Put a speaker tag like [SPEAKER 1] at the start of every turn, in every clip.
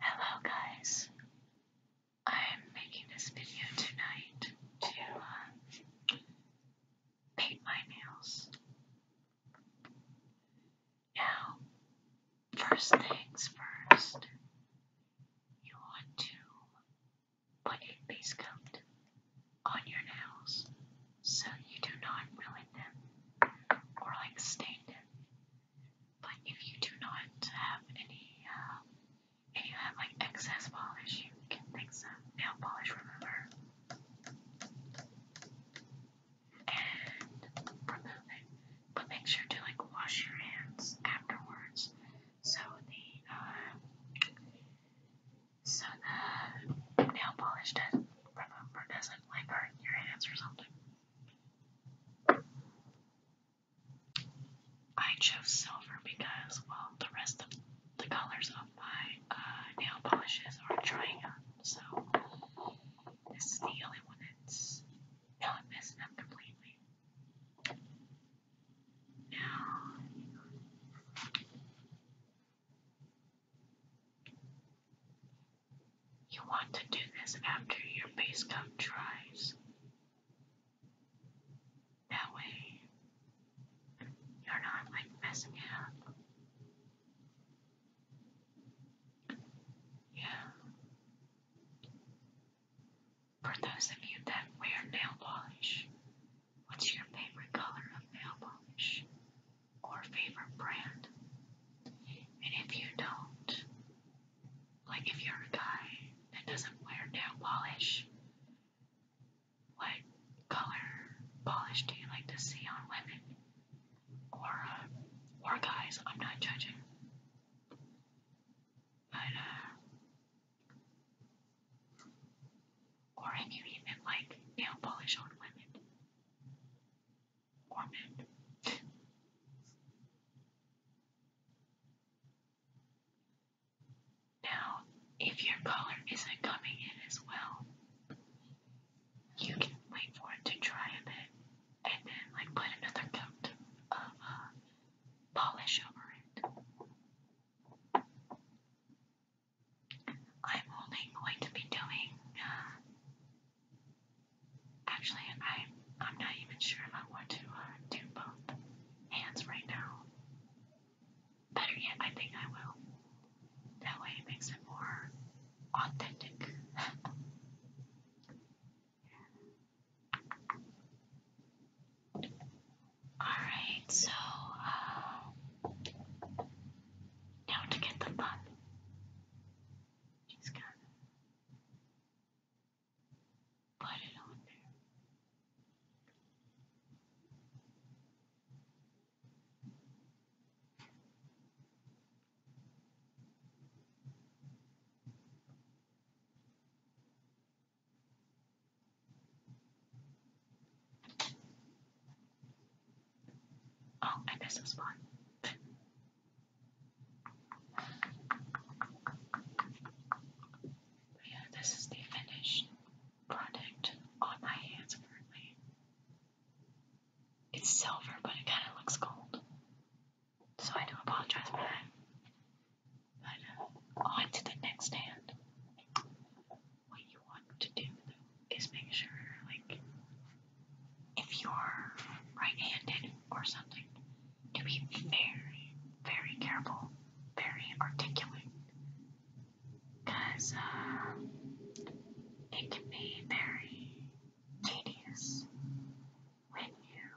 [SPEAKER 1] Hello guys, I'm making this video tonight to uh, paint my nails. Now, first things first, you want to put a base coat on your nails so you do not ruin them or like stain them. But if you do not have any, uh, if you have like excess polish, you can take some nail polish remover and remove it. But make sure to like wash your hands afterwards so the uh, so the nail polish doesn't remember doesn't like hurt your hands or something. I chose silver because well the rest of the colors of my uh, nail polishes are drying up, so this is the only one that's not messing up completely. Now you want to do this after your base coat dries. That way, you're not like messing up. Yeah. For those of you that wear nail polish, What's your favorite color of nail polish or favorite brand? And if you don't, like if you're a guy that doesn't wear nail polish, what color polish do you like to see on women? Or, uh, or guys, I'm not judging. But, uh, or I can even like nail polish on women. Or men. now, if your color isn't coming in as well, you can wait for it to dry a bit and then like put another coat of uh, polish over it. I'm only going to be doing. Uh, actually, I I'm not even sure if I want to uh, do both hands right now. Better yet, I think I will. That way, it makes it more authentic. Alright, so um, now to get the pup. Just gotta put it on there. Oh, I missed a spot. yeah, this is the finished product on my hands apparently. It's silver, but it kind of looks gold. So I do apologize for that. But uh, on to the next hand. What you want to do is make sure, like, if you're right-handed or something, to be very, very careful, very articulate, because uh, it can be very tedious when you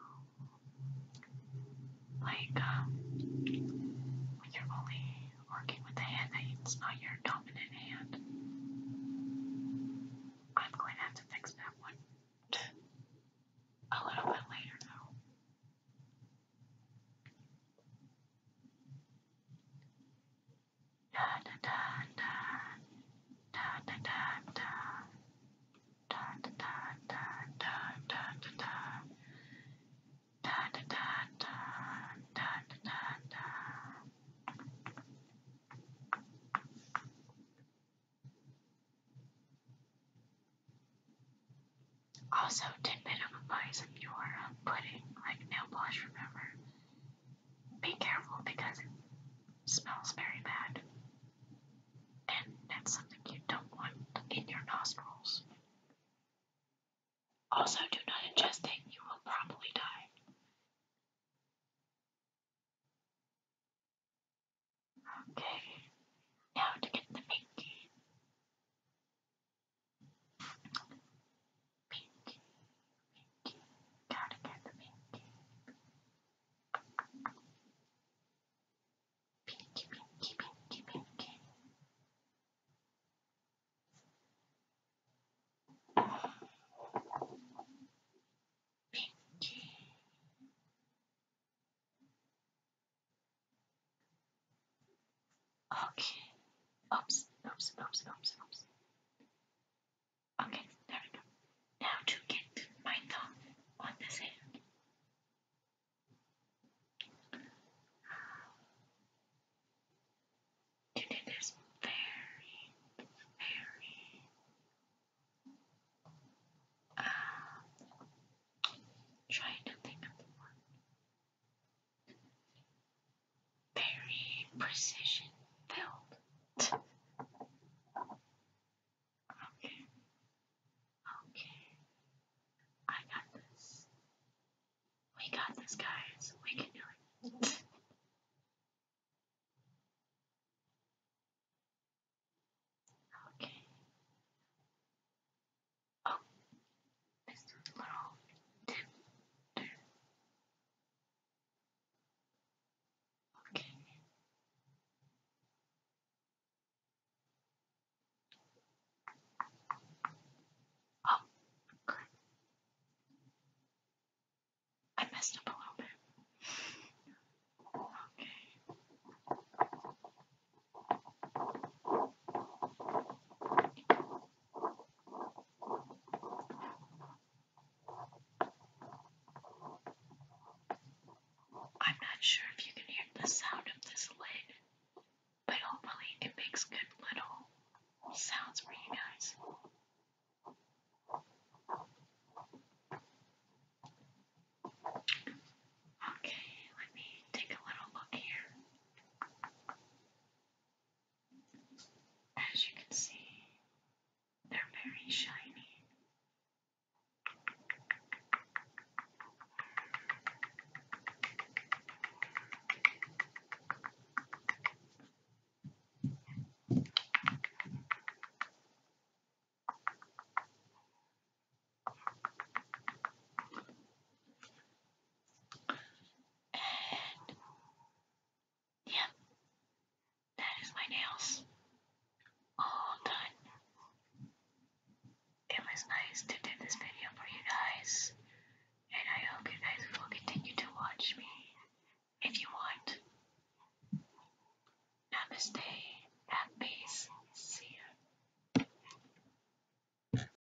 [SPEAKER 1] like um, when you're only working with the hand that's not your dominant hand. I'm going to have to fix that one a little bit later though. Also, tidbit of advice if you are uh, putting like nail polish, remember, be careful because it smells very bad. And that's something you don't want in your nostrils. Also, do not ingest it, you will probably die. Okay, now to get the pinky. Pinky, pinky, gotta get the pinky. Pinky, pinky, pinky, pinky. Pinky. Okay. Oops, oops, oops, oops, oops. Okay, there we go. Now to get my thumb on this hand. You did this very, very uh, trying to think the word very precision built. okay, okay, I got this. We got this, guys. We can do it. okay. Oh, this little dip Okay. Oh, I messed up a little bit. I'm not sure if you can hear the sound of this leg, but hopefully it makes good little sounds for you guys. Okay, let me take a little look here. As you can see, they're very shiny. And yeah, that is my nails all done. It was nice to do this video for you guys, and I hope you guys will continue to watch me if you want. Namaste, peace, see ya.